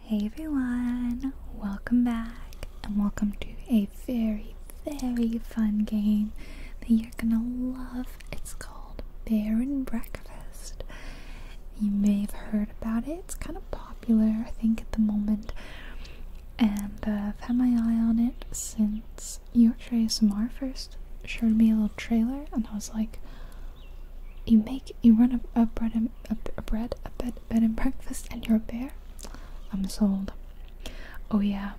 Hey everyone, welcome back and welcome to a very, very fun game that you're gonna love. It's called Bear and Breakfast. You may have heard about it, it's kind of popular, I think, at the moment. And uh, I've had my eye on it since Yorkshire ASMR first showed me a little trailer, and I was like, you make you run a, a bread and a, a bread a bed bed and breakfast and you're a bear i'm sold oh yeah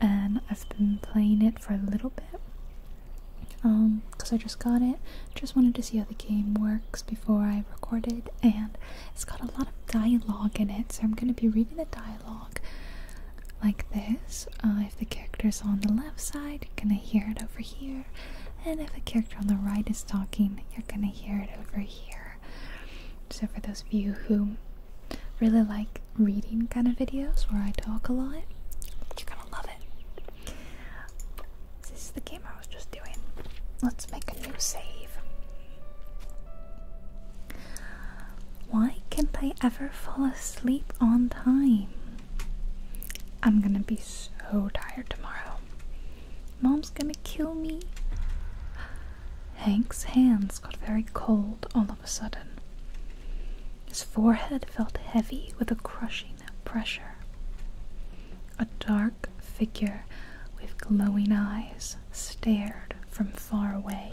and i've been playing it for a little bit um because i just got it just wanted to see how the game works before i recorded and it's got a lot of dialogue in it so i'm going to be reading the dialogue like this uh, if the character's on the left side you're going to hear it over here and if the character on the right is talking, you're gonna hear it over here. So, for those of you who really like reading kind of videos where I talk a lot, you're gonna love it. This is the game I was just doing. Let's make a new save. Why can't I ever fall asleep on time? I'm gonna be so tired tomorrow. Mom's gonna kill me. Hank's hands got very cold all of a sudden. His forehead felt heavy with a crushing pressure. A dark figure with glowing eyes stared from far away.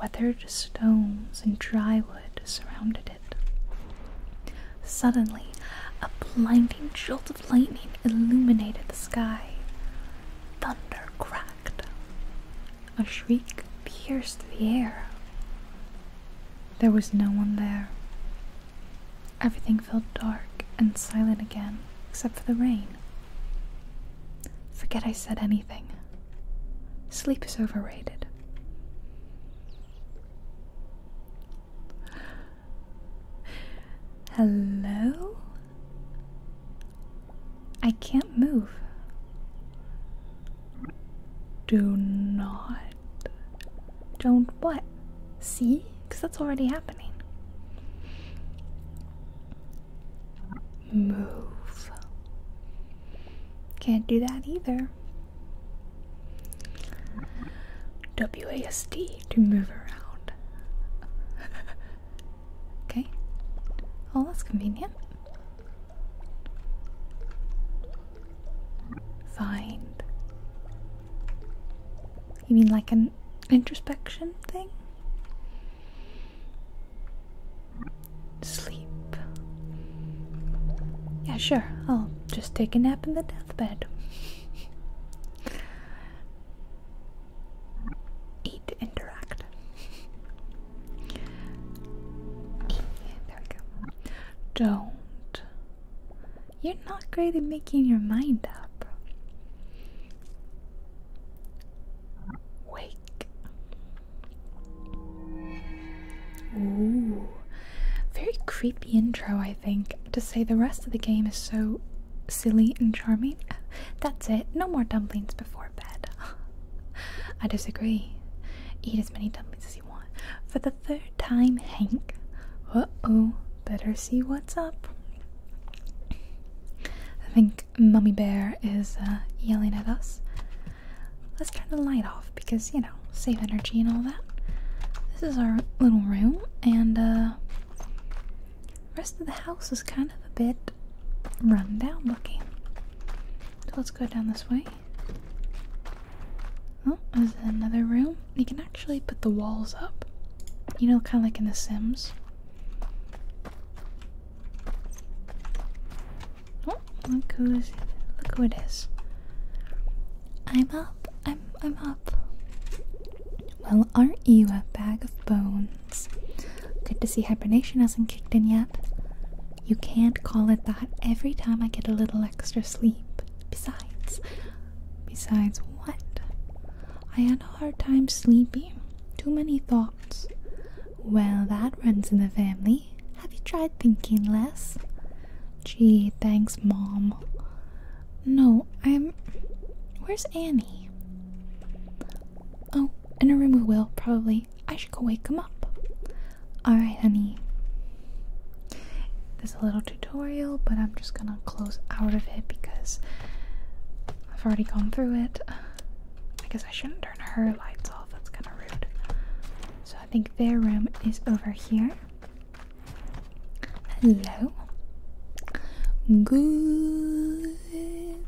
Weathered stones and dry wood surrounded it. Suddenly, a blinding jolt of lightning illuminated the sky. Thunder cracked. A shriek pierced the air. There was no one there. Everything felt dark and silent again, except for the rain. Forget I said anything. Sleep is overrated. Hello? I can't move. Do not. Don't what? See? Because that's already happening. Move. Can't do that either. WASD to move around. okay. Oh, that's convenient. Find. You mean like an introspection thing? Sleep. Yeah, sure. I'll just take a nap in the the bed. Eat, interact. Don't. You're not great at making your mind up. Wake. Ooh, very creepy intro, I think. To say the rest of the game is so silly and charming. That's it, no more dumplings before bed. I disagree. Eat as many dumplings as you want. For the third time, Hank. Uh oh, better see what's up. I think Mummy Bear is uh, yelling at us. Let's turn the light off because, you know, save energy and all that. This is our little room, and uh, rest of the house is kind of a bit run down looking. So let's go down this way. Oh, there's another room. You can actually put the walls up. You know, kind of like in The Sims. Oh, look who's it! look who it is. I'm up. I I'm up. Well, aren't you a bag of bones? Good to see hibernation hasn't kicked in yet. You can't call it that every time I get a little extra sleep. Besides, besides what? I had a hard time sleeping. Too many thoughts. Well, that runs in the family. Have you tried thinking less? Gee, thanks, Mom. No, I'm. Where's Annie? Oh, in her room we will, probably. I should go wake him up. Alright, honey. There's a little tutorial, but I'm just gonna close out of it because I've already gone through it. I guess I shouldn't turn her lights off, that's kinda rude. So I think their room is over here. Hello. Good.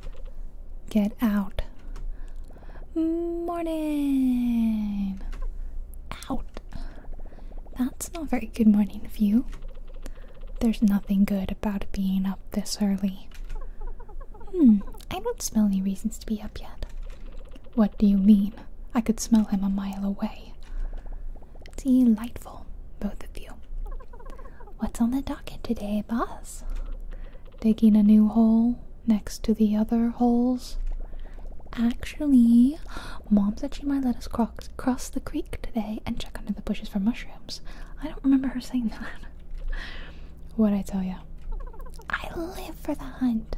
Get out. Morning. Out. That's not very good morning view. There's nothing good about being up this early. Hmm, I don't smell any reasons to be up yet. What do you mean? I could smell him a mile away. Delightful, both of you. What's on the docket today, boss? Digging a new hole next to the other holes. Actually, Mom said she might let us cross the creek today and check under the bushes for mushrooms. I don't remember her saying that. What'd I tell ya? I live for the hunt.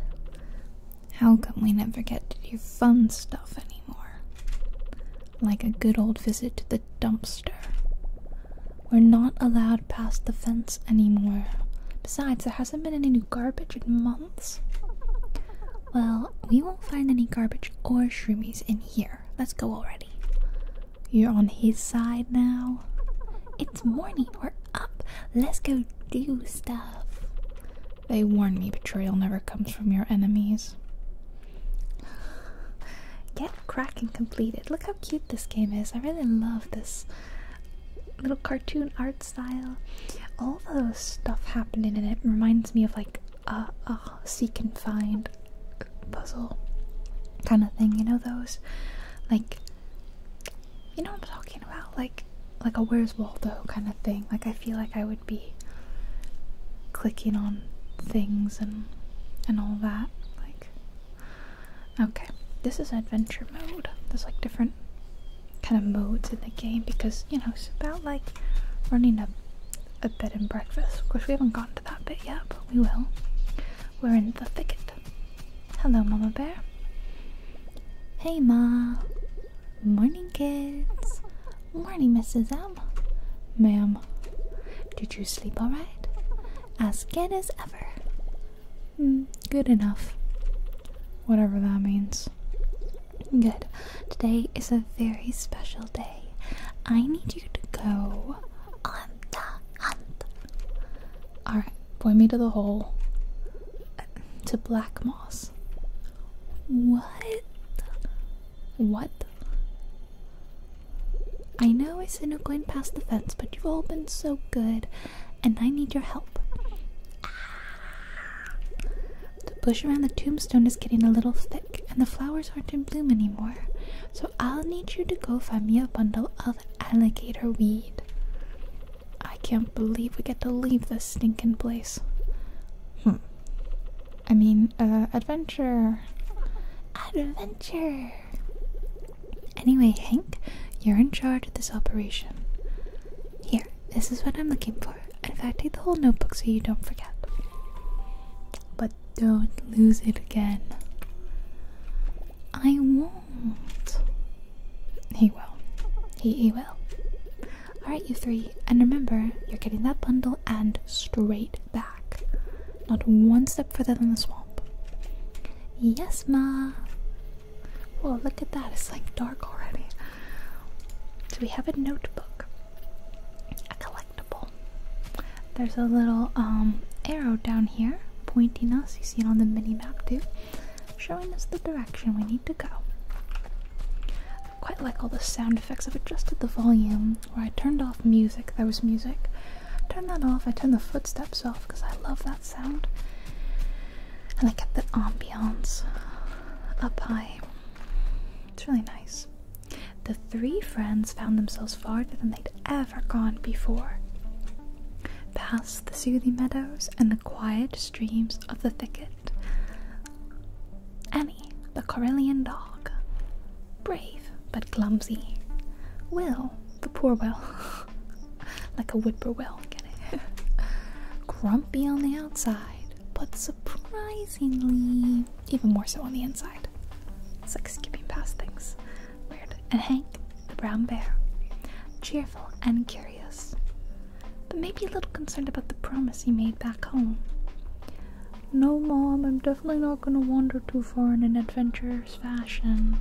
How come we never get to do fun stuff anymore? Like a good old visit to the dumpster. We're not allowed past the fence anymore. Besides, there hasn't been any new garbage in months. Well, we won't find any garbage or shroomies in here. Let's go already. You're on his side now. It's morning, we're up. Let's go do stuff. They warn me betrayal never comes from your enemies. Get cracking completed. Look how cute this game is. I really love this little cartoon art style. All the stuff happening in it reminds me of like a seek and find puzzle kind of thing. You know those? Like, you know what I'm talking about? Like, like a Where's Waldo kind of thing. Like I feel like I would be clicking on things and and all that. Like okay, this is adventure mode. There's like different kind of modes in the game because you know it's about like running a a bed and breakfast. Of course, we haven't gotten to that bit yet, but we will. We're in the thicket. Hello, Mama Bear. Hey, Ma. Morning, kids. Morning, Mrs. M. Ma'am, did you sleep all right? As good as ever. Mm, good enough. Whatever that means. Good. Today is a very special day. I need you to go on the hunt. Alright, point me to the hole. Uh, to Black Moss. What? What? I know I said no going past the fence, but you've all been so good, and I need your help. The bush around the tombstone is getting a little thick, and the flowers aren't in bloom anymore, so I'll need you to go find me a bundle of alligator weed. I can't believe we get to leave this stinking place. Hmm. I mean, uh, adventure. Adventure! Anyway, Hank, you're in charge of this operation. Here, this is what I'm looking for. In fact, take the whole notebook so you don't forget. But don't lose it again. I won't. He will. He, he will. Alright, you three. And remember, you're getting that bundle and straight back. Not one step further than the swamp. Yes, ma. Whoa, look at that. It's like dark already. So we have a notebook, a collectible. There's a little um, arrow down here pointing us. You see it on the mini map too showing us the direction we need to go. quite like all the sound effects. I've adjusted the volume where I turned off music. There was music. Turn that off. I turn the footsteps off because I love that sound. And I kept the ambiance up high. It's really nice. The three friends found themselves farther than they'd ever gone before. Past the soothing meadows and the quiet streams of the thicket, Annie, the Karelian dog, brave but clumsy. Will, the poor Will, like a whippoorwill, get it? Grumpy on the outside, but surprisingly, even more so on the inside. It's like skipping past things. Weird. And Hank, the brown bear, cheerful and curious but maybe a little concerned about the promise he made back home. No, Mom, I'm definitely not gonna wander too far in an adventurous fashion.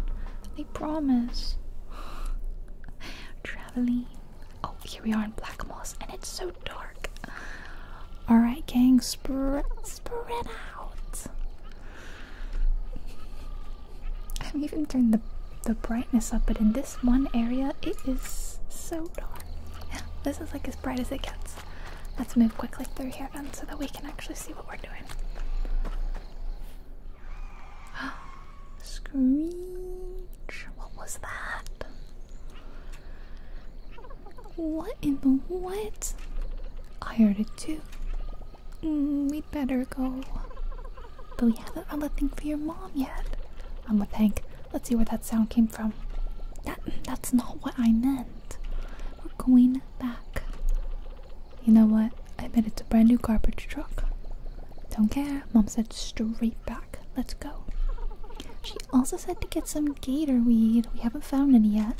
I promise. Traveling. Oh, here we are in Black Moss, and it's so dark. Alright, gang, spread, out. I am even turning the, the brightness up, but in this this one area, it is so dark. this is like as bright as it gets. Let's move quickly through here then so that we can actually see what we're doing. Screech! What was that? What in the what? I heard it too. Mm, we'd better go. But we haven't found the thing for your mom yet. I'm with Hank. Let's see where that sound came from. That that's not what I meant. We're going back. You know what? I bet it's a brand new garbage truck. Don't care. Mom said straight back. Let's go. She also said to get some gator weed. We haven't found any yet.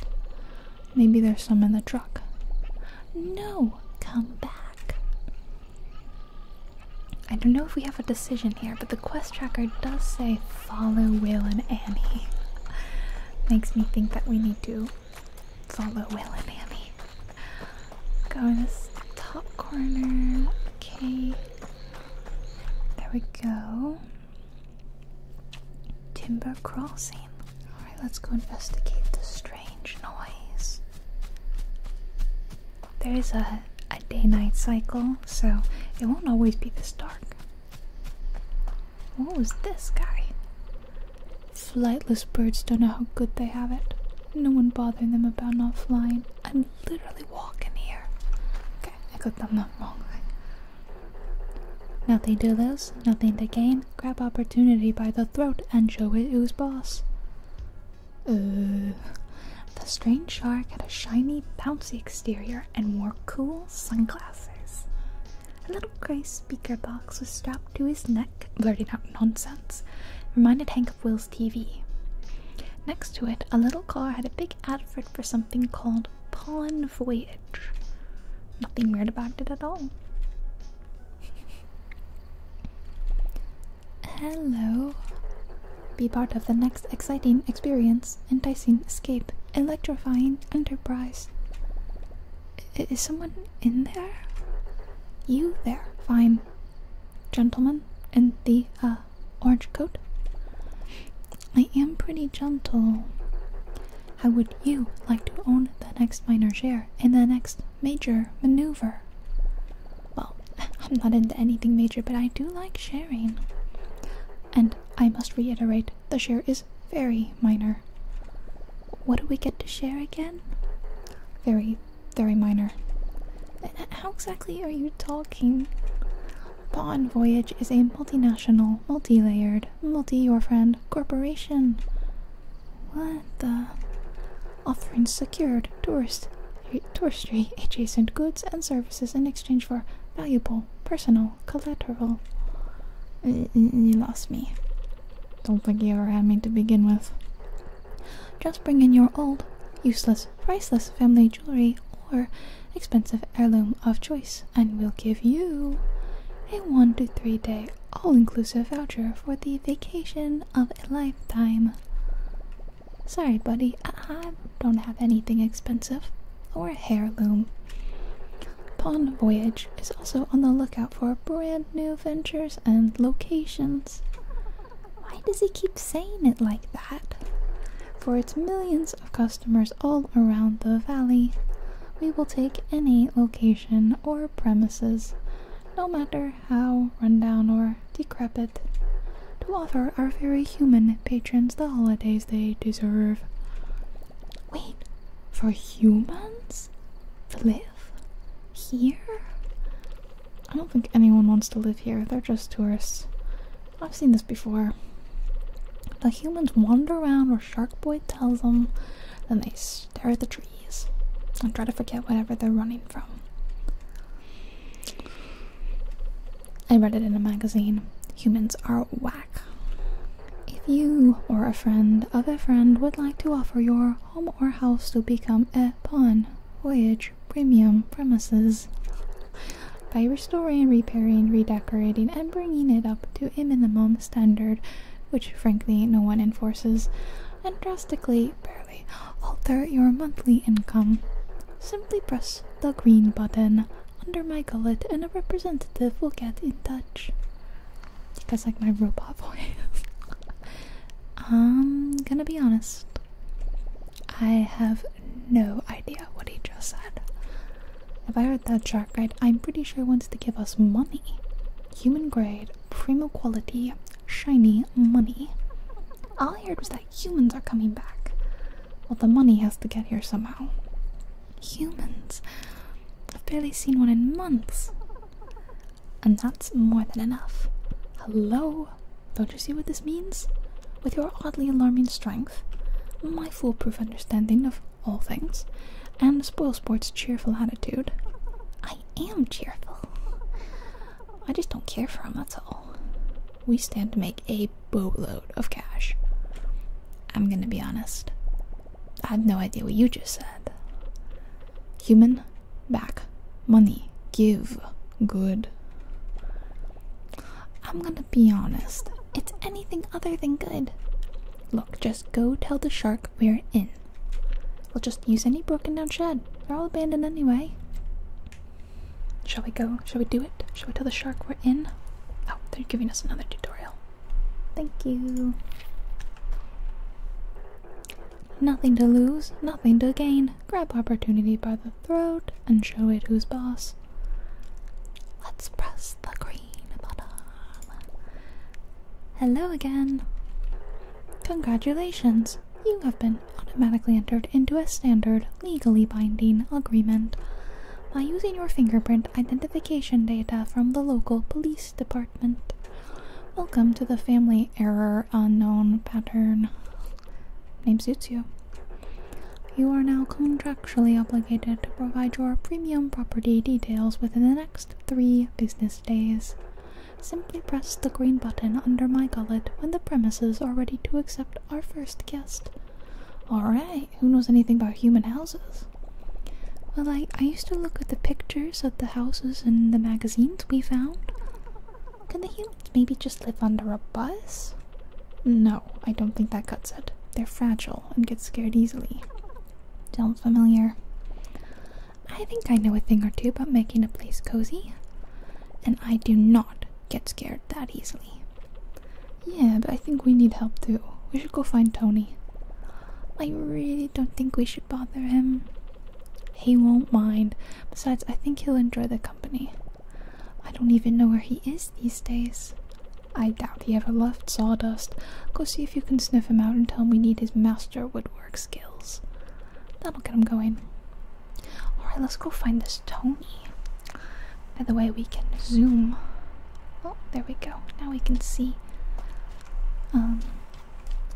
Maybe there's some in the truck. No, come back. I don't know if we have a decision here, but the quest tracker does say follow Will and Annie. Makes me think that we need to follow Will and Annie. Go in this top corner. Okay. There we go. Timber crossing. Alright, let's go investigate the strange noise there is a, a day-night cycle, so it won't always be this dark. What was this guy? Flightless birds don't know how good they have it. No one bothering them about not flying. I'm literally walking here. Okay, I got them the wrong thing. Nothing to lose, nothing to gain. Grab opportunity by the throat and show it who's boss the strange shark had a shiny, bouncy exterior and wore cool sunglasses. A little grey speaker box was strapped to his neck, blurting out nonsense, reminded Hank of Will's TV. Next to it, a little car had a big advert for something called Pond Voyage. Nothing weird about it at all. Hello. Be part of the next exciting experience, enticing escape, electrifying enterprise. is someone in there? You there, fine. Gentleman in the uh, orange coat? I am pretty gentle. How would you like to own the next minor share in the next major maneuver? Well, I'm not into anything major, but I do like sharing. And I must reiterate the share is very minor. What do we get to share again? Very, very minor. How exactly are you talking? Bond Voyage is a multinational, multi layered, multi your friend corporation. What the? offering secured tourist, touristry adjacent goods and services in exchange for valuable personal collateral. you lost me. Don't think you ever had me to begin with. Just bring in your old, useless, priceless family jewelry or expensive heirloom of choice, and we'll give you a one to three day all inclusive voucher for the vacation of a lifetime. Sorry, buddy, I, don't have anything expensive or a heirloom. Pond Voyage is also on the lookout for brand new ventures and locations. Why does he keep saying it like that? For its millions of customers all around the valley, we will take any location or premises, no matter wonder how rundown or decrepit to offer our very human patrons the holidays they deserve. Wait, for humans to live here? I don't think anyone wants to live here, they're just tourists. I've seen this before. The humans wander around where Shark Boy tells them, then they stare at the trees and try to forget whatever they're running from. I read it in a magazine. Humans are whack. If you or a friend of a friend would like to offer your home or house to become a pawn, voyage, premium premises by restoring, repairing, redecorating, and bringing it up to a minimum standard, which frankly no one enforces, and drastically alter your monthly income. Simply press the green button under my gullet and a representative will get in touch. You guys like my robot voice? I'm um, gonna be honest. I have no idea what he just said. If I heard that shark right, I'm pretty sure he wants to give us money. Human grade, primo quality, shiny money. All I heard was that humans are coming back. Well, the money has to get here somehow. Humans. I've barely seen one in months. And that's more than enough. Hello? Don't you see what this means? With your oddly alarming strength, my foolproof understanding of all things, and Spoilsport's cheerful attitude, I am cheerful. I just don't care for him, that's all. We stand to make a boatload of cash. I'm gonna be honest. I have no idea what you just said. Human, back, money, give, good. I'm gonna be honest. It's anything other than good. Look, just go tell the shark we're in. We'll just use any broken down shed. They're all abandoned anyway. Shall we go? Shall we do it? Shall we tell the shark we're in? Oh, they're giving us another tutorial. Thank you. Nothing to lose, nothing to gain. Grab opportunity by the throat and show it who's boss. Let's press the green button. Hello again. Congratulations you have been automatically entered into a standard, legally binding agreement by using your fingerprint identification data from the local police department. Welcome to the family error unknown pattern. Name suits you. You are now contractually obligated to provide your premium property details within the next three business days. Simply press the green button under my gullet when the premises are ready to accept our first guest. Alright, who knows anything about human houses? Well, I, I used to look at the pictures of the houses in the magazines we found. Can the humans maybe just live under a bus? No, I don't think that cuts it. They're fragile and get scared easily. Sounds familiar. I think I know a thing or two about making a place cozy. And I do not get scared that easily. Yeah, but I think we need help too. We should go find Tony. I really don't think we should bother him. He won't mind. Besides, I think he'll enjoy the company. I don't even know where he is these days. I doubt he ever left Sawdust. Go see if you can sniff him out and tell him we need his master woodwork skills. That'll get him going. Alright, let's go find this Tony. By the way, we can zoom. Oh, there we go. Now we can see. Um,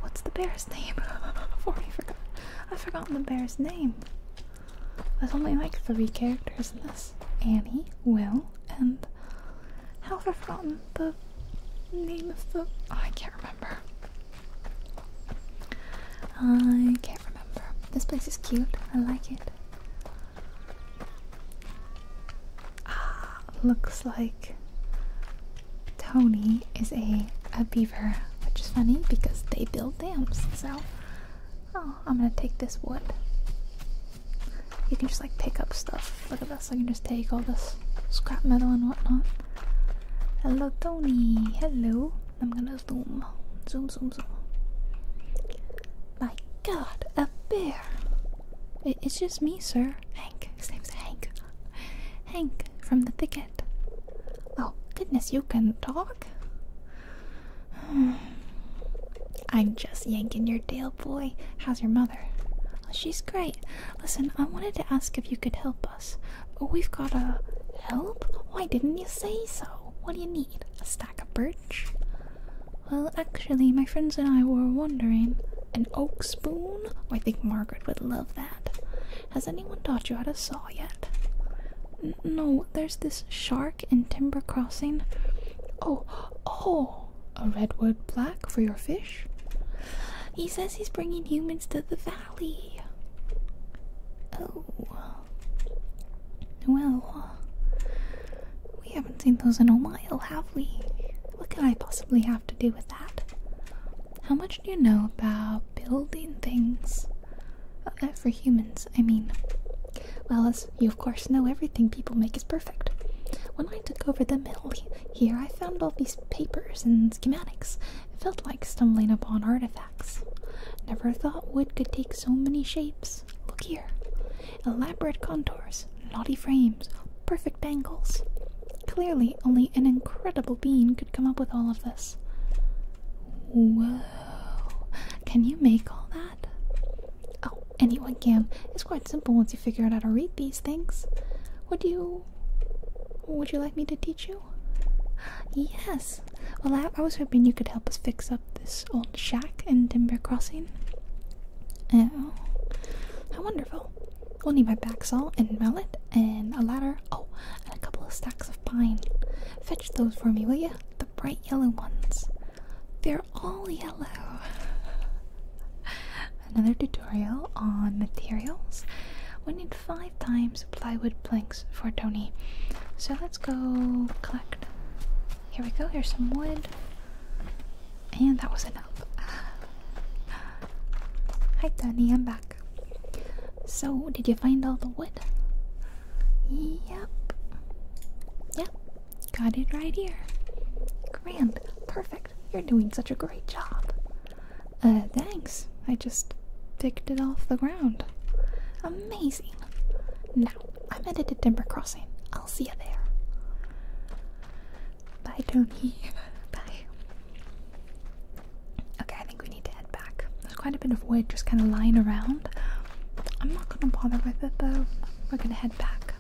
what's the bear's name? I've forgot. I've forgotten the bear's name. There's only like three characters in this Annie, Will, and. How have I forgotten the name of the. I can't remember. I can't remember. This place is cute. I like it. Ah, looks like Tony is a a beaver, which is funny because they build dams. So, oh, I'm gonna take this wood. You can just like pick up stuff. Look at this. I can just take all this scrap metal and whatnot. Hello, Tony. Hello. I'm gonna zoom, zoom, zoom, zoom. My God, a bear! it's just me, sir. Hank. His name's Hank. Hank from the thicket. Oh goodness, you can talk. I'm just yanking your tail, boy. How's your mother? Oh, she's great. Listen, I wanted to ask if you could help us us. But we've got a help? Why didn't you say so? What do you need? A stack of birch? Well, actually, my friends and I were wondering. An oak spoon? Oh, I think Margaret would love that. Has anyone taught you how to saw yet? no, there's this shark in Timber Crossing. Oh, oh! A redwood black for your fish? He says he's bringing humans to the valley. Oh. Well, we haven't seen those in a while, have we? What can I possibly have to do with that? How much do you know about building things? Uh, uh, for humans, I mean. Well, as you of course know, everything people make is perfect. When I took over the mill here, I found all these papers and schematics. It felt like stumbling upon artifacts. Never thought wood could take so many shapes. Look here. Elaborate contours, knotty frames, perfect angles. Clearly, only an incredible being could come up with all of this. Whoa. Can you make all that? Oh, anyone can. It's quite simple once you figure out how to read these things. Would you. Would you like me to teach you? Yes. Well, I, was hoping you could help us fix up this old shack in Timber Crossing. Oh, how wonderful! We'll need my back saw and mallet and a ladder. Oh, and a couple of stacks of pine. Fetch those for me, will you? The bright yellow ones. They're all yellow. Another tutorial on materials. We need Five times plywood planks for Tony. So let's go collect. Here we go, here's some wood. And that was enough. Hi Tony, I'm back. So, did you find all the wood? Yep. Yep. Got it right here. Grand. Perfect. You're doing such a great job. Uh, thanks. I just picked it off the ground. Amazing! Now, I'm headed to Timber Crossing. I'll see you there. Bye, Tony. Bye. Okay, I think we need to head back. There's quite a bit of wood just kind of lying around. I'm not gonna bother with it though. We're gonna head back.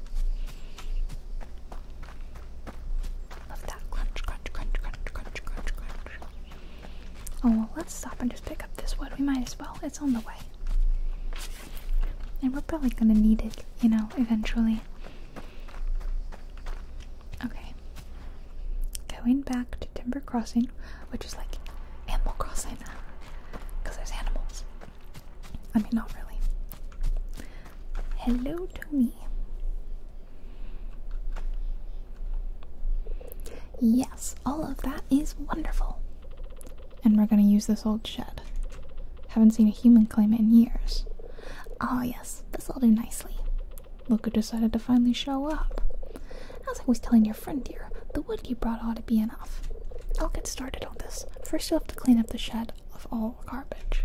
Love that crunch, crunch, crunch, crunch, crunch, crunch, crunch. Oh, well, let's stop and just pick up this wood. We might as well. It's on the way. And we're probably gonna need it, you know, eventually. Okay. Going back to Timber Crossing, which is like Animal Crossing. Because there's animals. I mean, not really. Hello, Tony. Yeah, Yes, all of that is wonderful. And we're gonna use this old shed. Haven't seen a human claim it in years. Ah, yes, this'll do nicely. Look who decided to finally show up. As I was telling your friend, dear, the wood you brought ought to be enough. I'll get started on this. First, you'll have to clean up the shed of all garbage.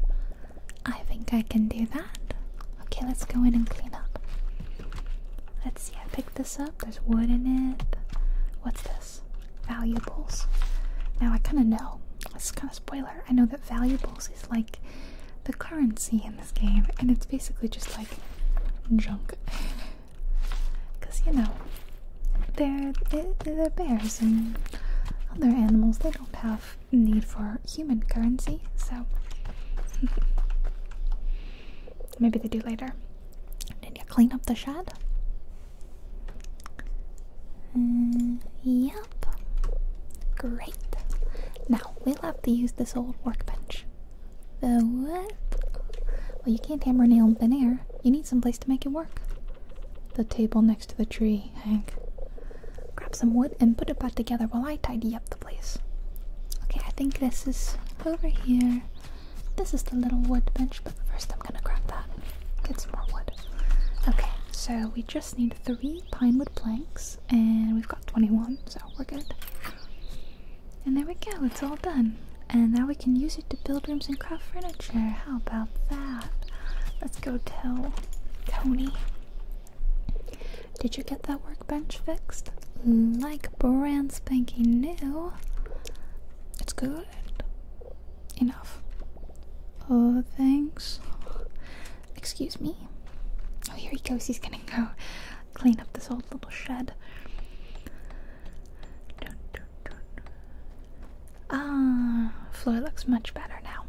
I think I can do that. Okay, let's go in and clean up. Let's see, I picked this up. There's wood in it. What's this? Valuables. Now I kind of know. This is kind of spoiler. I know that valuables is like the currency in this game, and it's basically just like junk. Because, you know, they're, they're bears and other animals. They don't have need for human currency, so. Maybe they do later. Did you clean up the shed? Uh, yep. Great. Now we'll have to use this old workbench. The what? Well, you can't hammer a nail in thin air. You need some place to make it work. The table next to the tree, Hank. Grab some wood and put it back together while I tidy up the place. Okay, I think this is over here. This is the little wood bench, but first I'm gonna grab that. Get some more wood. Okay, so we just need three pine wood planks, and we've got 21, so we're good. And there we go, it's all done. And now we can use it to build rooms and craft furniture. How about that? Let's go tell Tony. Did you get that workbench fixed? Like brand spanking new. It's good. Enough. Oh, thanks. Excuse me. Oh, here he goes. He's gonna go clean up this old little shed. Ah, floor looks much better now.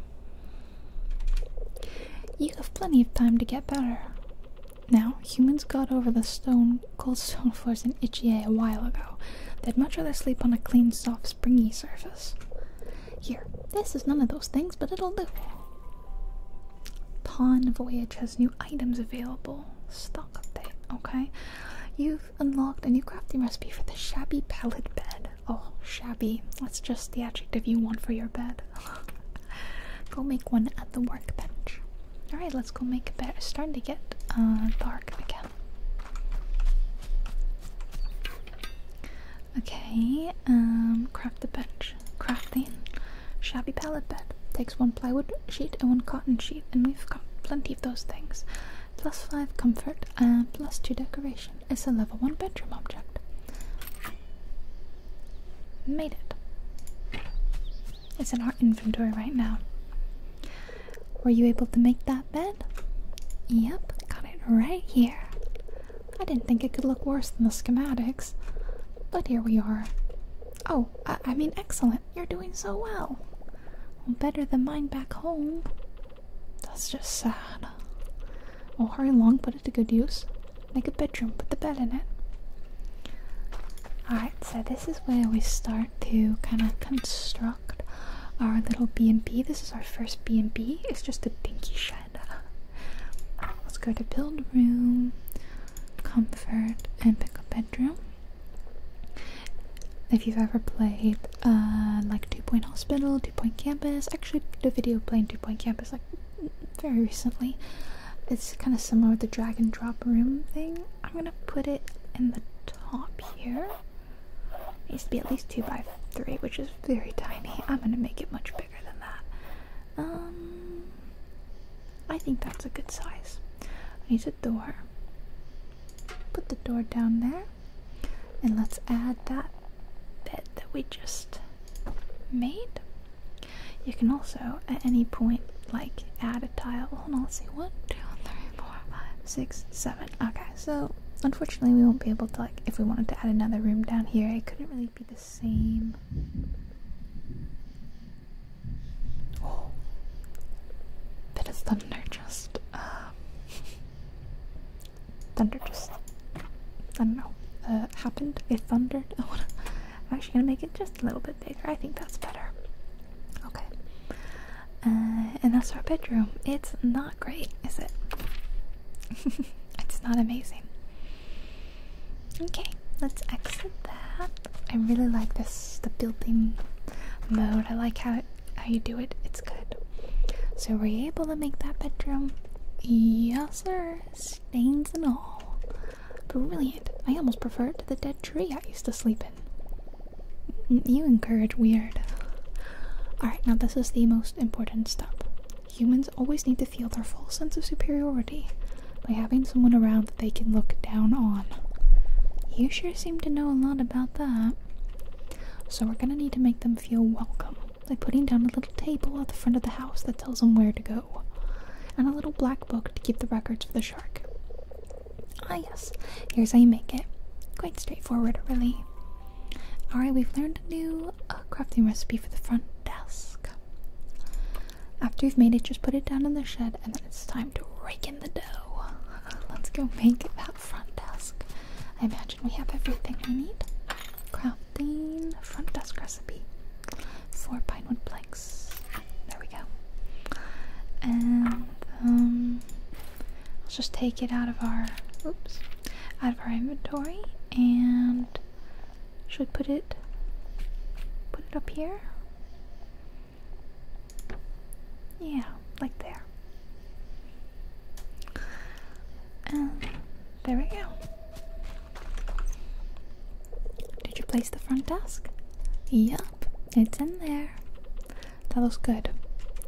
You have plenty of time to get better. Now, humans got over the stone, cold stone floors in Ichie a while ago. They'd much rather sleep on a clean, soft, springy surface. Here, this is none of those things, but it'll do. Pawn Voyage has new items available. Stock update, okay? You've unlocked a new crafting recipe for the shabby pallet bed. Oh, shabby. That's just the adjective you want for your bed. go make one at the workbench. Alright, let's go make a bed. starting to get uh, dark again. Okay, um, craft the bench. Crafting. Shabby pallet bed. Takes one plywood sheet and one cotton sheet, and we've got plenty of those things. Plus five comfort and uh, plus two decoration. It's a level one bedroom object made it. It's in our inventory right now. Were you able to make that bed? Yep, got it right here. I didn't think it could look worse than the schematics, but here we are. Oh, I, mean, excellent. You're doing so well. Better than mine back home. That's just sad. Oh, hurry long, but it to good use. Make a bedroom, with the bed in it. Alright, so this is where we start to kind of construct our little B&B. This is our first B&B. It's just a dinky shed. Let's go to build room, comfort, and pick a bedroom. If you've ever played uh, like Two Point Hospital, Two Point Campus, actually the video playing Two Point Campus very recently. It's kind of similar with the drag and drop room thing. I'm gonna put it in the top here. needs to be at least two by three, which is very tiny. I'm gonna make it much bigger than that. Um, I think that's a good size. I need a door. Put the door down there, and let's add that bed that we just made. You can also at any point like add a tile. Hold on, let's see. One, two, three, four, five, six, seven. Okay, so unfortunately we won't be able to like if we wanted to add another room down here, it couldn't really be the same. Oh bit of thunder just uh, thunder just I don't know. Uh, happened. It thundered. Oh, I'm actually gonna make it just a little bit bigger. I think that's better. Okay. Uh, and that's our bedroom. It's not great, is it? it's not amazing. Okay, let's exit that. I really like this the building mode. I like how how you do it. It's good. So were you able to make that bedroom? Yes, sir. Stains and all. Brilliant. I almost prefer it to the dead tree I used to sleep in. You encourage weird. Alright, now this is the most important step. Humans always need to feel their full sense of superiority by having someone around that they can look down on. You sure seem to know a lot about that. So we're gonna need to make them feel welcome by putting down a little table at the front of the house that tells them where to go and a little black book to keep the records for the shark. Ah, yes, here's how you make it. Quite straightforward, really. Alright, we've learned a new uh, crafting recipe for the front desk. After you've made it, just put it down in the shed, and then it's time to rake in the dough. Let's go make that front desk. I imagine we have everything we need. Crafting front desk recipe four pine wood planks. There we go. And um, let's just take it out of our oops, out of our inventory, and should put it put it up here. Yeah, like there. And there we go. Did you place the front desk? Yup, it's in there. That looks good.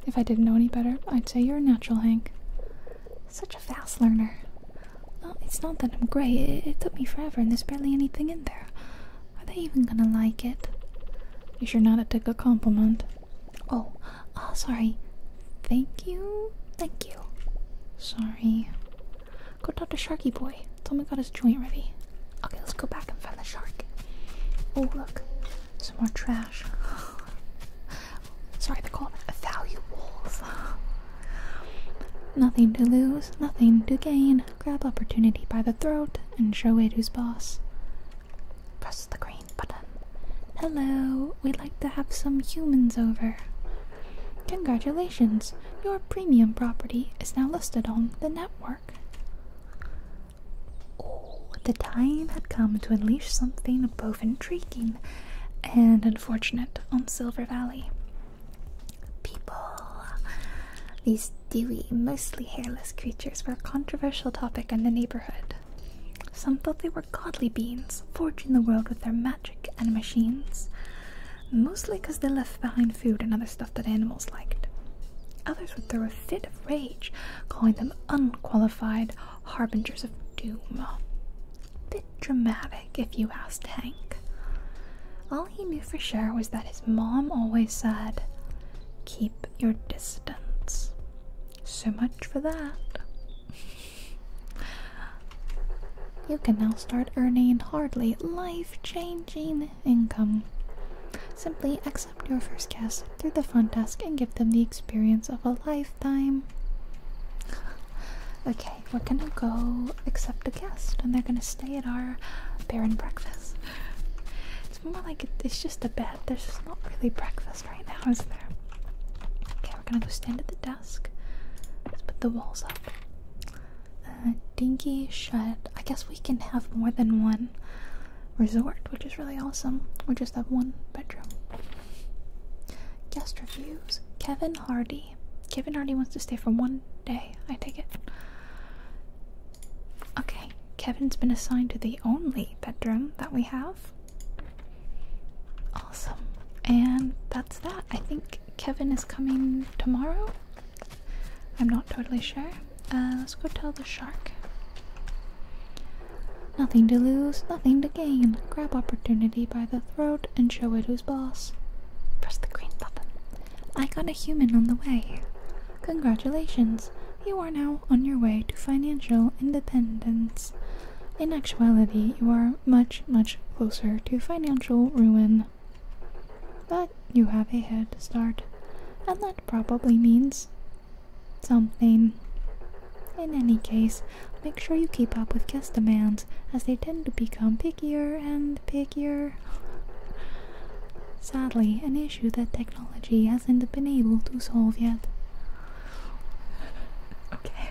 If I didn't know any better, I'd say you're a natural, Hank. Such a fast learner. Well, it's not that I'm great, it, took me forever and there's barely anything in there. Are they even gonna like it? You sure not to take a compliment? Oh, oh, sorry. Thank you. Thank you. Sorry. Go talk to Sharky Boy. Tell him I got his joint ready. Okay, let's go back and find the shark. Oh, look. Some more trash. Sorry, they call them value wolves. nothing to lose, nothing to gain. Grab opportunity by the throat and show it who's boss. Press the green button. Hello, we'd like to have some humans over. Congratulations! Your premium property is now listed on the network. Oh, the time had come to unleash something both intriguing and unfortunate on Silver Valley. People. These dewy, mostly hairless creatures were a controversial topic in the neighborhood. Some thought they were godly beings, forging the world with their magic and machines. Mostly 'cause they left behind food and other stuff that animals liked. Others would throw a fit of rage, calling them unqualified harbingers of doom. Bit dramatic, if you asked Hank. All he knew for sure was that his mom always said, Keep your distance. So much for that. You can now start earning hardly life changing income. Simply accept your first guest through the fun task and give them the experience of a lifetime. Okay, we're gonna go accept a guest and they're gonna stay at our barren breakfast. It's more like it's just a bed, there's just not really breakfast right now, is there? Okay, we're gonna go stand at the desk. Let's put the walls up. Uh, dinky shed. I guess we can have more than one resort, which is really awesome. We just have one bedroom. Guest reviews. Kevin Hardy. Kevin Hardy wants to stay for one day. I take it. Okay, Kevin's been assigned to the only bedroom that we have. Awesome. And that's that. I think Kevin is coming tomorrow. I'm not totally sure. Uh, let's go tell the shark. Nothing to lose, nothing to gain. Grab opportunity by the throat and show it who's boss. Press the green button. I got a human on the way. Congratulations, you are now on your way to financial independence. In actuality, you are much, much closer to financial ruin but you have a head start, and that probably means something. In any case, make sure you keep up with guest demands as they tend to become pickier and pickier. Sadly, an issue that technology hasn't been able to solve yet. okay.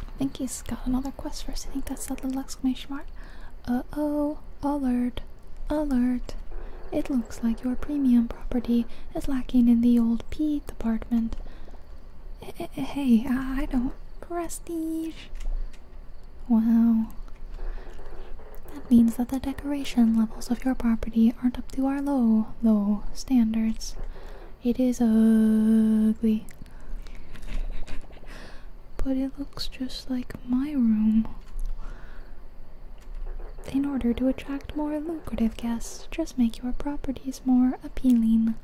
I think he's got another quest for us. I think that's that little exclamation mark. Uh oh, alert, alert. It looks like your premium property is lacking in the old P department. I I hey, I don't. Prestige. Wow. That means that the decoration levels of your property aren't up to our low, low standards. It is ugly. But it looks just like my room. In order to attract more lucrative guests, just make your properties more appealing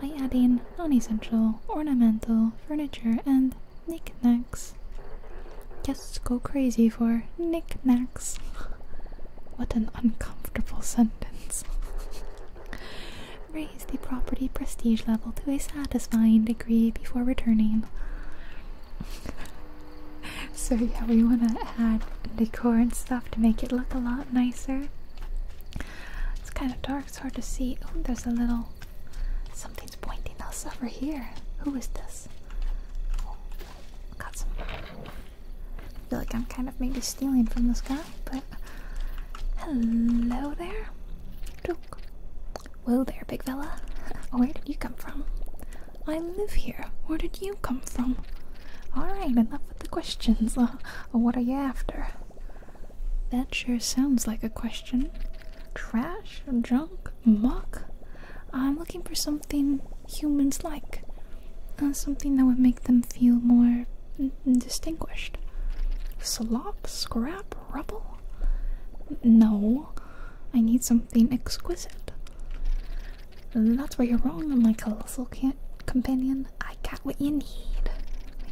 by adding non essential, ornamental furniture and knickknacks. Guests go crazy for knickknacks. what an uncomfortable sentence raise the property prestige level to a satisfying degree before returning. so, yeah, we want to add decor and stuff to make it look a lot nicer. It's kind of dark, it's hard to see. Oh, there's a little. Something's pointing us over here. Who is this? Oh, got some. I feel like I'm kind of maybe stealing from this guy but hello there. Joke. Whoa there, big fella. Where did you come from? I live here. Where did you come from? Alright, enough with the questions. what are you after? That sure sounds like a question. Trash? Junk? Muck? I'm looking for something humans like. Uh, something that would make them feel more distinguished. Slop, scrap, rubble? No, I need something exquisite. That's where you're wrong, my colossal companion. I got what you need.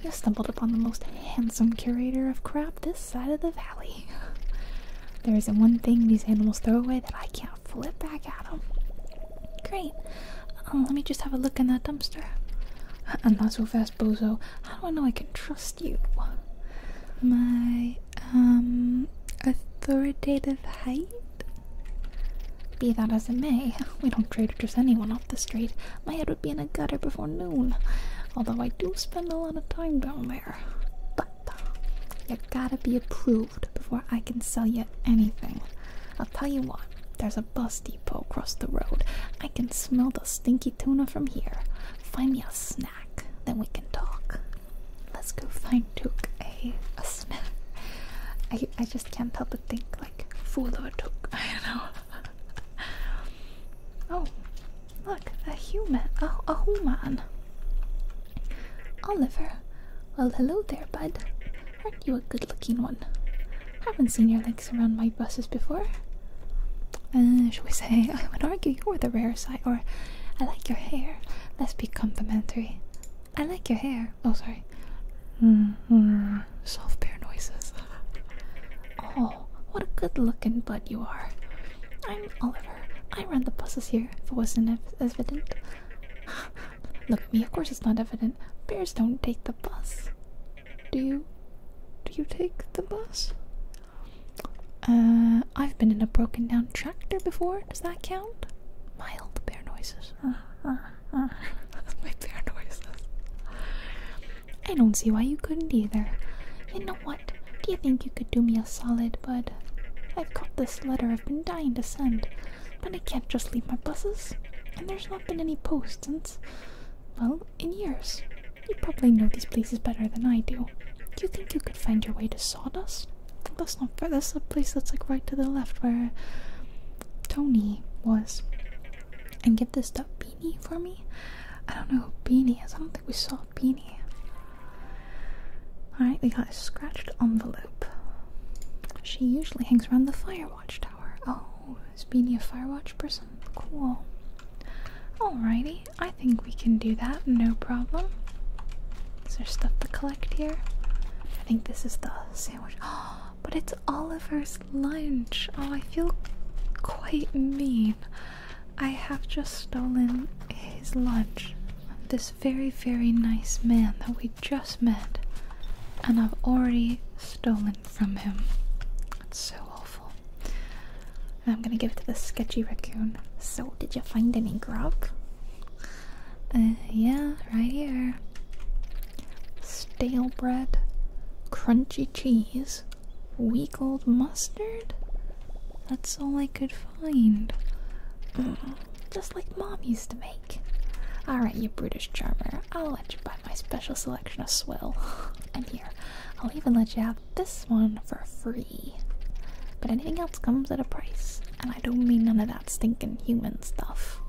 You stumbled upon the most handsome curator of crap this side of the valley. There isn't one thing these animals throw away that I can't flip back at them. Great. Um, let me just have a look in that dumpster. I'm not so fast, bozo. How do I know I can trust you? My um authoritative height? Be that as it may, we don't trade just anyone off the street. My head would be in a gutter before noon. Although I do spend a lot of time down there. But you gotta be approved before I can sell you anything. I'll tell you what, there's a bus across the road. I can smell the stinky tuna from here. Find me a snack, then we can talk. Let's go find Took a, a snack. I, I just can't help but think like food or Took. I don't know. oh, look, a human. A, a human. Oliver. Well, hello there, bud. Aren't you a good looking one? Haven't seen your legs around my buses before. Uh, Should we say, I would argue you're the rare sight. or I like your hair. Let's be complimentary. I like your hair. Oh, sorry. -hmm. Soft bear noises. oh, what a good looking bud you are. I'm Oliver. I run the buses here, if it wasn't ev evident. Look at me, of course it's not evident. Bears don't take the bus. Do you do you take the bus? Uh, I've been in a broken down tractor before. Does that count? Mild bear noises. my bear noises. I don't see why you couldn't either. You know what? Do you think you could do me a solid, bud? I've got this letter I've been dying to send, but I can't just leave my buses. And there's not been any post since well, in years. You probably know these places better than I do. Do you think you could find your way to Sawdust? That's not fair. That's the place that's like right to the left where Tony was. And give this stuff Beanie for me? I don't know who Beanie is. I don't think we saw Beanie. Alright, we got a scratched envelope. She usually hangs around the fire watchtower. Oh, is Beanie a Firewatch person? Cool. Alrighty, I think we can do that, no problem. Is there stuff to collect here? I think this is the sandwich. Oh, but it's Oliver's lunch! Oh, I feel quite mean. I have just stolen his lunch. This very, very nice man that we just met, and I've already stolen from him. That's so awful. I'm gonna give it to the sketchy raccoon. So, did you find any grub? Uh, yeah, right here. Stale bread, crunchy cheese, weak old mustard? That's all I could find. Mm, just like mom used to make. Alright, you British charmer. I'll let you buy my special selection of swill. and here, I'll even let you have this one for free. But anything else comes at a price, and I don't mean none of that stinking human stuff.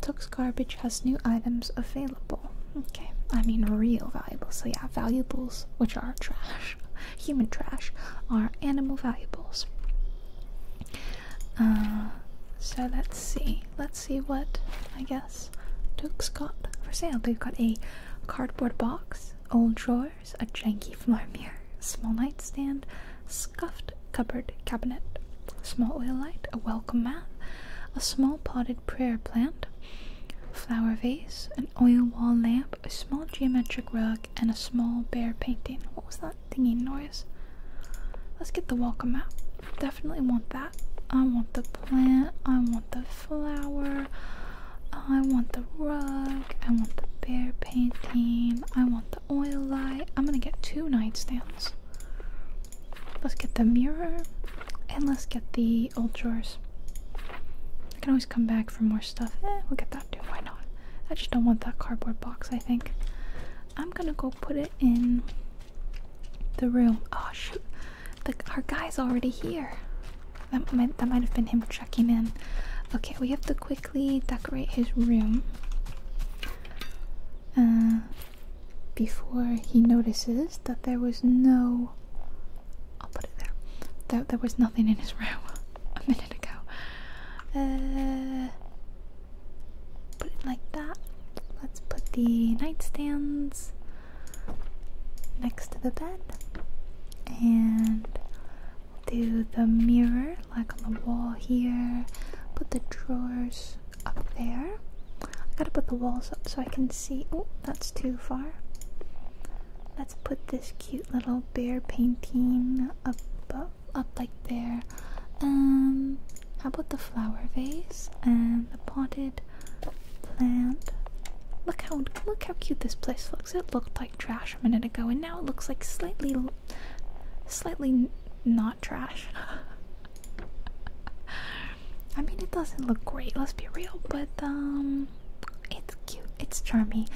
Tux Garbage has new items available. Okay, I mean real valuables. So, yeah, valuables, which are trash, human trash, are animal valuables. Uh, so let's see. Let's see what I guess Duke's got for sale. They've got a cardboard box, old drawers, a janky floor mirror, a small nightstand, scuffed cupboard cabinet, small oil light, a welcome mat, a small potted prayer plant, flower vase, an oil wall lamp, a small geometric rug, and a small bear painting. What was that? that thingy noise. Let's get the welcome mat. Definitely want that. I want the plant. I want the flower. I want the rug. I want the bear painting. I want the oil light. I'm gonna get two nightstands. Let's get the mirror. And let's get the old drawers. I can always come back for more stuff. Eh, we'll get that too. Why not? I just don't want that cardboard box, I think. I'm gonna go put it in the room. Oh shoot, our guy's already here. That might that might have been him checking in. Okay, we have to quickly decorate his room uh, before he notices that there was no. I'll put it there. That there was nothing in his room a minute ago. Uh, Put it like that. Let's put the nightstands next to the bed. And do the mirror like on the wall here. Put the drawers up there. I gotta put the walls up so I can see. Oh, that's too far. Let's put this cute little bear painting above up like there. Um, how about the flower vase and the potted plant? Look how look how cute this place looks. It looked like trash a minute ago, and now it looks like slightly, slightly not trash. I mean, it doesn't look great. Let's be real, but um, it's cute. It's charming,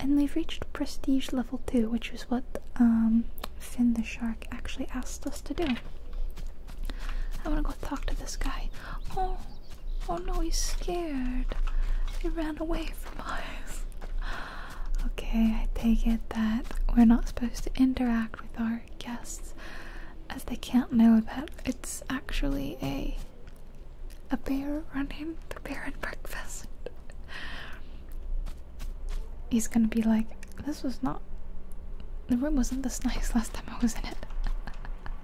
and we've reached prestige level two, which is what um Finn the shark actually asked us to do. I want to go talk to this guy. Oh, oh no, he's scared. He ran away from us. Okay, I take it that we're not supposed to interact with our guests as they can't know about it's actually a a bear running the bear and breakfast he's gonna be like, this was not. The room wasn't this nice last time I was in it.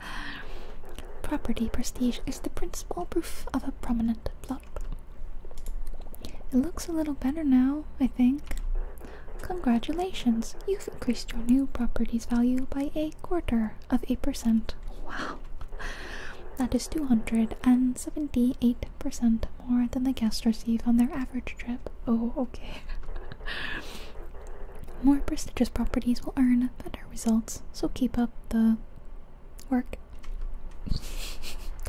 Property prestige is the principal proof of a prominent plot. It looks a little better now, I think. Congratulations, you've increased your new property's value by a quarter of a percent. Wow, that is 278 percent more than the guests receive on their average trip. Oh, okay. more prestigious properties will earn better results, so keep up the work.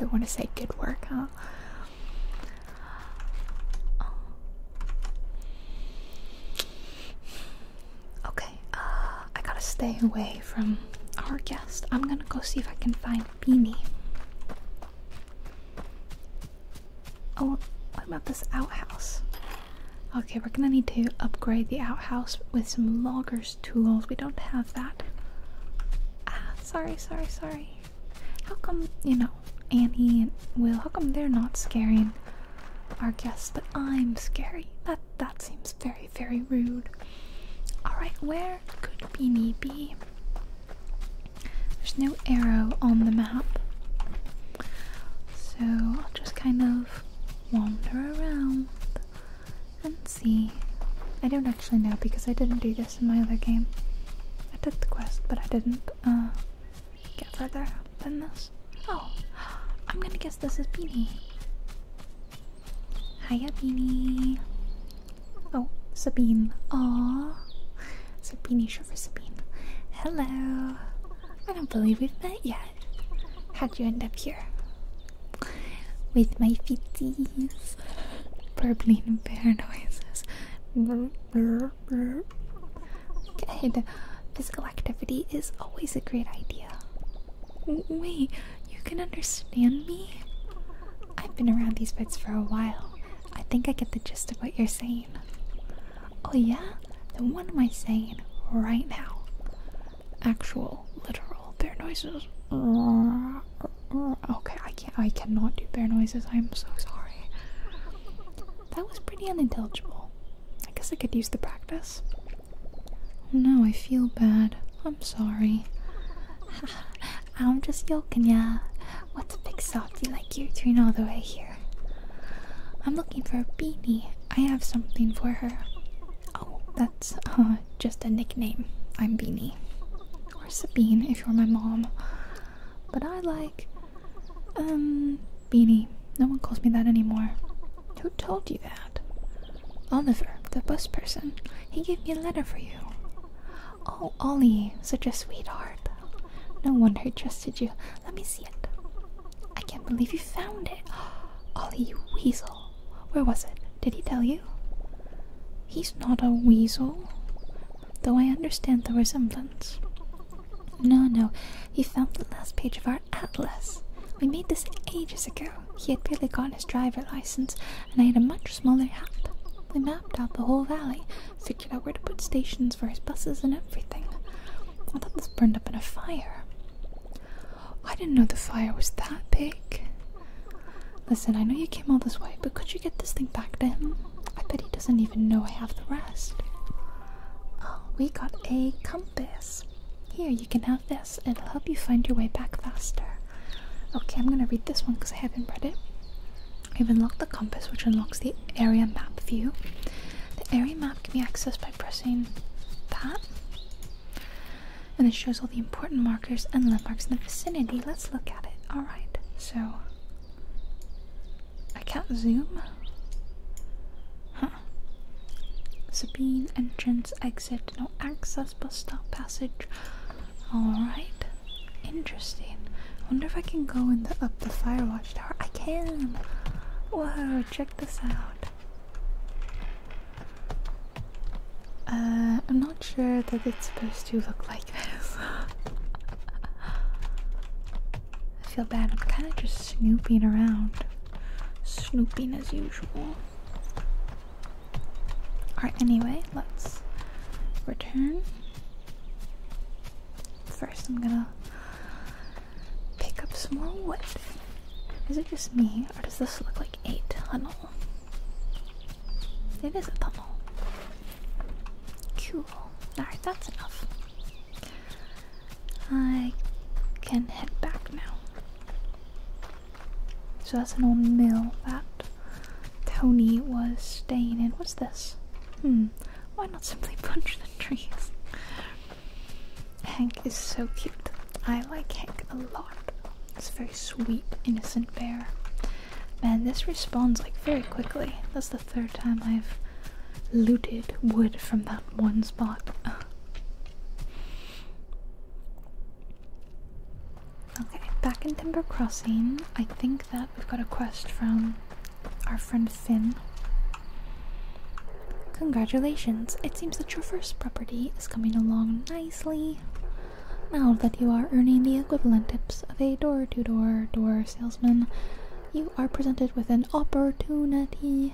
I want to say good work, huh? Oh. Okay, uh, I gotta stay away from our guest. I'm gonna go see if I can find Beanie. Oh, what about this outhouse? Okay, we're gonna need to upgrade the outhouse with some logger's tools. We don't have that. Ah, sorry, sorry, sorry. How come, you know, Annie and Will, how come they're not scaring our guests, but I'm scary? That that seems very, very rude. Alright, where there could Beanie There's no arrow on the map. So I'll just kind of wander around and see. I don't actually know because I didn't do this in my other game. I did the quest, but I didn't uh, get further than this. Oh, I'm gonna guess this is Beanie. Hiya, Beanie. Oh, Sabine. Aww. Sabine, sugar Sabine. Hello. I don't believe we've met yet. How'd you end up here? With my feeties. Burbling and bear noises. Burr, Good. Physical activity is always a great idea. Wait, you can understand me? I've been around these bits for a while, I think I get the gist of what you're saying. Oh, yeah? Then what am I saying right now? Actual, literal bear noises. Okay, I can't, I cannot do bear noises. I'm so sorry. That was pretty unintelligible. I guess I could use the practice. No, I feel bad. I'm sorry. I'm just yoking ya. What's a big softy like you doing all the way here? I'm looking for a beanie. I have something for her. Oh, that's uh, just a nickname. I'm Beanie. Or Sabine if you're my mom. But I like. Um, Beanie. No one calls me that anymore. Who told you that? Oliver, the bus person. He gave me a letter for you. Oh, Ollie, such a sweetheart. No wonder he trusted you. Let me see it. I can't believe you found it. Ollie, weasel. Where was it? Did he tell you? He's not a weasel. Though I understand the resemblance. No, no, he found the last page of our atlas. We made this ages ago. He had barely got his driver's license and I had a much smaller hat. We mapped out the whole valley, figured out where to put stations for his buses and everything. I thought this burned up in a fire. I didn't know the fire was that big. Listen, I know you came all this way, but could you get this thing back to him? I bet he doesn't even know I have the rest. Oh, we got a compass. Here, you can have this. It'll help you find your way back faster. Okay, I'm gonna read this one because I haven't read it i have unlocked the compass, which unlocks the area map view. The area map can be accessed by pressing that, and it shows all the important markers and landmarks in the vicinity. Let's look at it. All right, so I can't zoom. Sabine entrance exit no access bus stop passage. All right. Interesting. wonder if I can go in the up the firewatch tower. I can. Whoa! Check this out. Uh, I'm not sure that it's supposed to look like this. I feel bad. I'm kind of just snooping around, snooping as usual. Alright, anyway, let's return. First, I'm gonna pick up some more wood. Is it just me, or does this look like a tunnel? It is a tunnel. Cool. Alright, that's enough. I can head back now. So that's an old mill, that. Tony was staying in. What's this? Hmm. Why not simply punch the trees? Hank is so cute. I like Hank a lot. It's very sweet, innocent bear. Man, this responds like very quickly. That's the third time I've looted wood from that one spot. Okay, back in Timber Crossing, I think that we've got a quest from our friend Finn. Congratulations! It seems that your first property is coming along nicely. Now that you are earning the equivalent tips of a door to door door salesman, you are presented with an opportunity.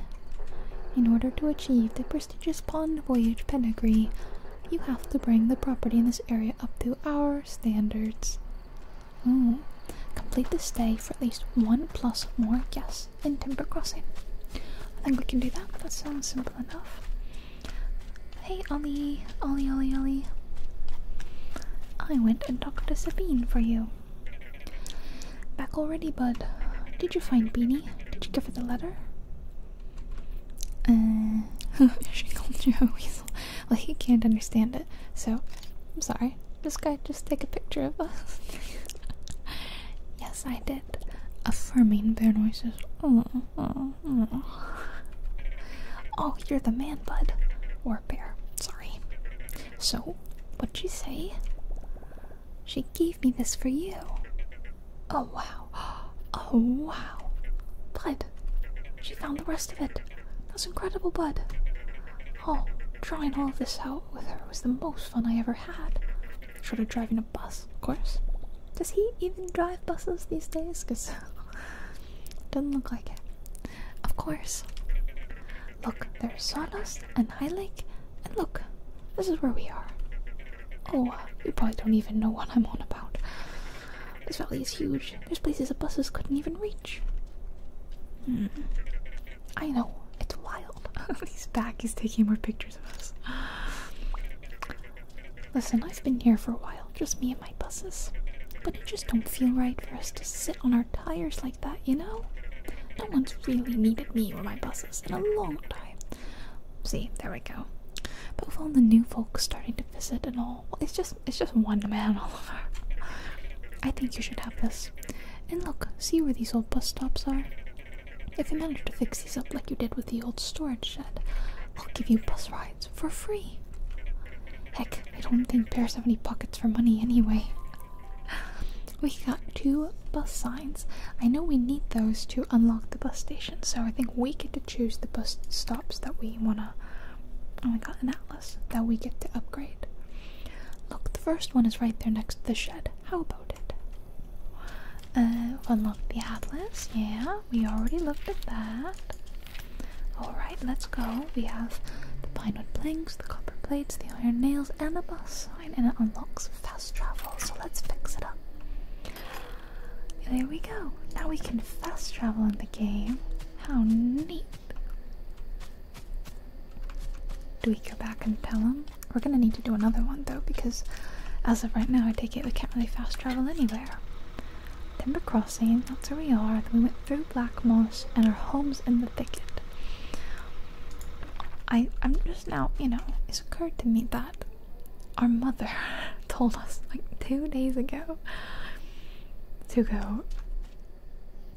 In order to achieve the prestigious Pond Voyage pedigree, you have to bring the property in this area up to our standards. Mm. Complete this day for at least one plus more guests in Timber Crossing. I think we can do that. That sounds simple enough. Hey Ollie, Ollie, Ollie, Ollie. I went and talked to Sabine for you. Back already, bud. Did you find Beanie? Did you give her the letter? Uh, she called you a weasel. Well, he can't understand it, so I'm sorry. This guy just take a picture of us. yes, I did. Affirming bear noises. Oh, oh, you're the man, bud. Or bear. Sorry. So, what'd you say? She gave me this for you. Oh, wow. Oh, wow. Bud, she found the rest of it. That's incredible, bud. Oh, drawing all of this out with her was the most fun I ever had. Short of driving a bus, of course. Does he even drive buses these days? Because doesn't look like it. Of course. Look, there's Sawdust and High Lake, and look, this is where we are. Oh, you probably don't even know what I'm on about. This valley is huge. There's places the buses couldn't even reach. Hmm. I know. It's wild. He's back. He's taking more pictures of us. Listen, I've been here for a while, just me and my buses. But it just don't feel right for us to sit on our tires like that, you know? No one's really needed me or my buses in a long time. See, there we go. But with all the new folks starting to visit and all, it's just it's just one man all over. I think you should have this. And look, see where these old bus stops are? If you manage to fix these up like you did with the old storage shed, I'll give you bus rides for free. Heck, I don't think bears have any pockets for money anyway. We got two bus signs. I know we need those to unlock the bus station, so I think we get to choose the bus stops that we want to and we got an atlas that we get to upgrade. Look, the first one is right there next to the shed. How about it? Uh, unlock the atlas. Yeah, we already looked at that. Alright, let's go. We have the pine wood planks, the copper plates, the iron nails, and the boss sign, and it unlocks fast travel, so let's fix it up. There we go. Now we can fast travel in the game. How neat. Do we go back and tell him? We're gonna need to do another one though, because as of right now, I take it we can't really fast travel anywhere. Timber Crossing, that's where we are. we went through Black Moss and our home's in the thicket. I, I'm just now, you know, it's occurred to me that our mother told us like two days ago to go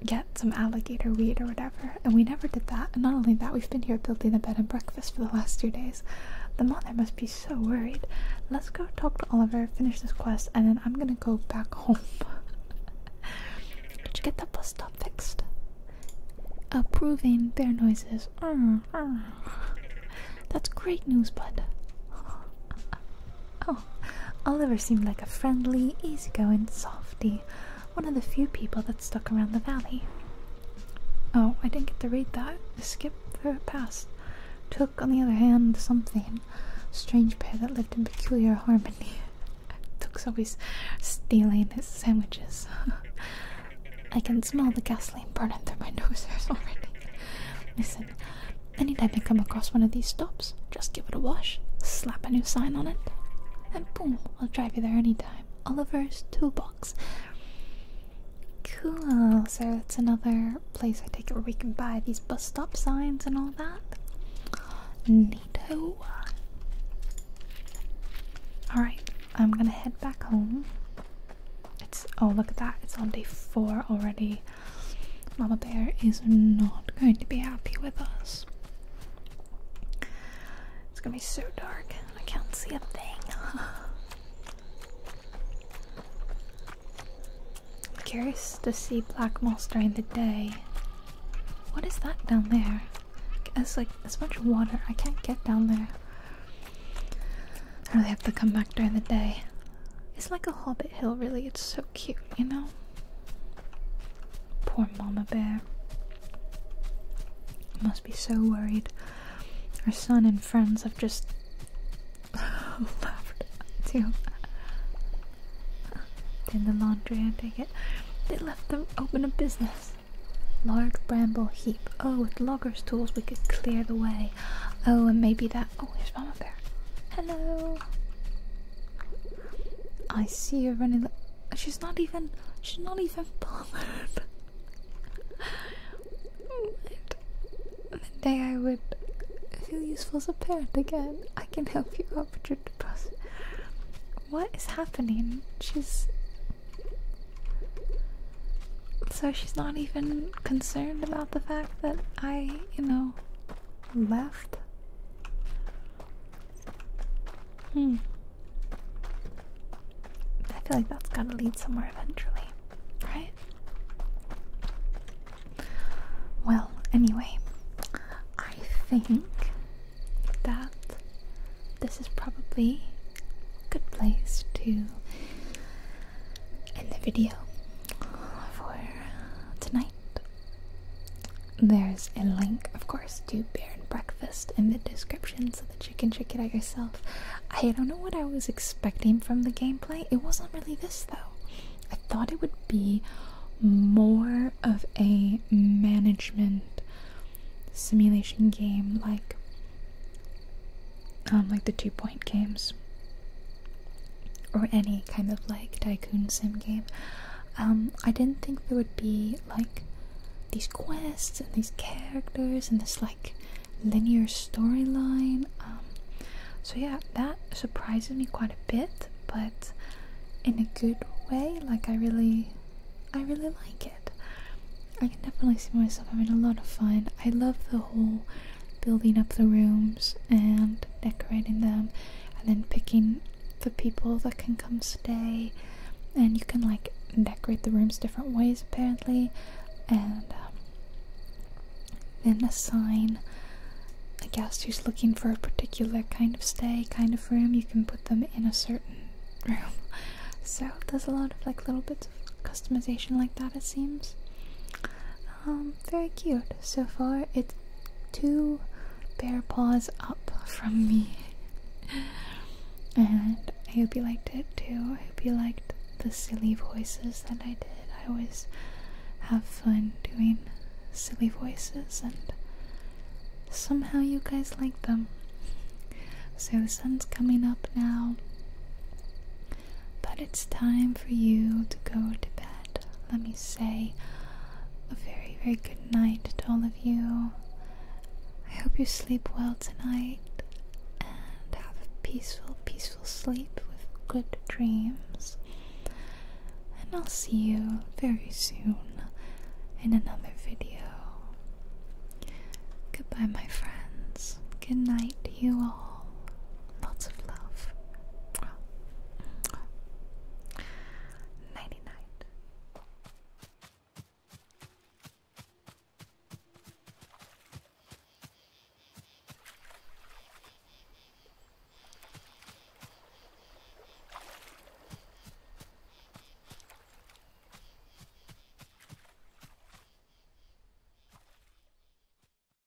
get some alligator weed or whatever. And we never did that. And not only that, we've been here building a bed and breakfast for the last two days. The mother must be so worried. Let's go talk to Oliver, finish this quest, and then I'm gonna go back home. Did you get the bus stop fixed? Approving their noises. That's great news, bud. Oh, Oliver seemed like a friendly, easygoing softy, one of the few people that stuck around the valley. Oh, I didn't get to read that. I skipped through past. Tuk, on the other hand, something. Strange pair that lived in peculiar harmony. Tuk's always stealing his sandwiches. I can smell the gasoline burning through my nose hairs already. Miss anytime I come across one of these stops, just give it a wash, slap a new sign on it, and boom, I'll drive you there anytime. Oliver's Toolbox. Cool, so that's another place I take it where we can buy these bus stop signs and all that. Neato. Alright, I'm gonna head back home. It's oh look at that, it's on day four already. Mama Bear is not going to be happy with us. It's gonna be so dark, I can't see a thing. curious to see black moss during the day. What is that down there? It's like as much water. I can't get down there. I oh, really have to come back during the day. It's like a hobbit hill, really. It's so cute, you know? Poor Mama Bear. Must be so worried. Her son and friends have just left at you. the laundry, I take it. They left them open a business. Large bramble heap. Oh, with loggers' tools we could clear the way. Oh, and maybe that Oh, there's Mama Bear. Hello. I see her running. She's not even. She's not even bothered. the day I would feel useful as a parent again, I can help you out with your deposit. What is happening? She's. So she's not even concerned about the fact that I, you know, left. Hmm. I feel like that's gotta lead somewhere eventually, right? Well, anyway, I think that this is probably a good place to in the video for uh, tonight. There's a link, of course, to Bear and Breakfast in the description so that you can check it out yourself. I don't know what I was expecting from the gameplay. It wasn't really this, though. I thought it would be more of a management simulation game like um like the two point games or any kind of like tycoon sim game, um, I didn't think there would be like these quests and these characters and this like linear storyline. Um, so yeah, that surprises me quite a bit, but in a good way. Like I really, I really like it. I can definitely see myself having a lot of fun. I love the whole building up the rooms and decorating them and then picking the people that can come stay and you can like decorate the rooms different ways apparently and um, then assign a guest who's looking for a particular kind of stay kind of room you can put them in a certain room so there's a lot of like little bits of customization like that it seems um, very cute so far. It's two bear paws up from me. and I hope you liked it too. I hope you liked the silly voices that I did. I always have fun doing silly voices, and somehow you guys like them. So, the sun's coming up now. But it's time for you to go to bed. Let me say a very, very good night to all of you. I hope you sleep well tonight and have a peaceful, peaceful sleep with good dreams. And I'll see you very soon in another video. Goodbye, my friends. Good night to you all. Lots of love. Nighty night.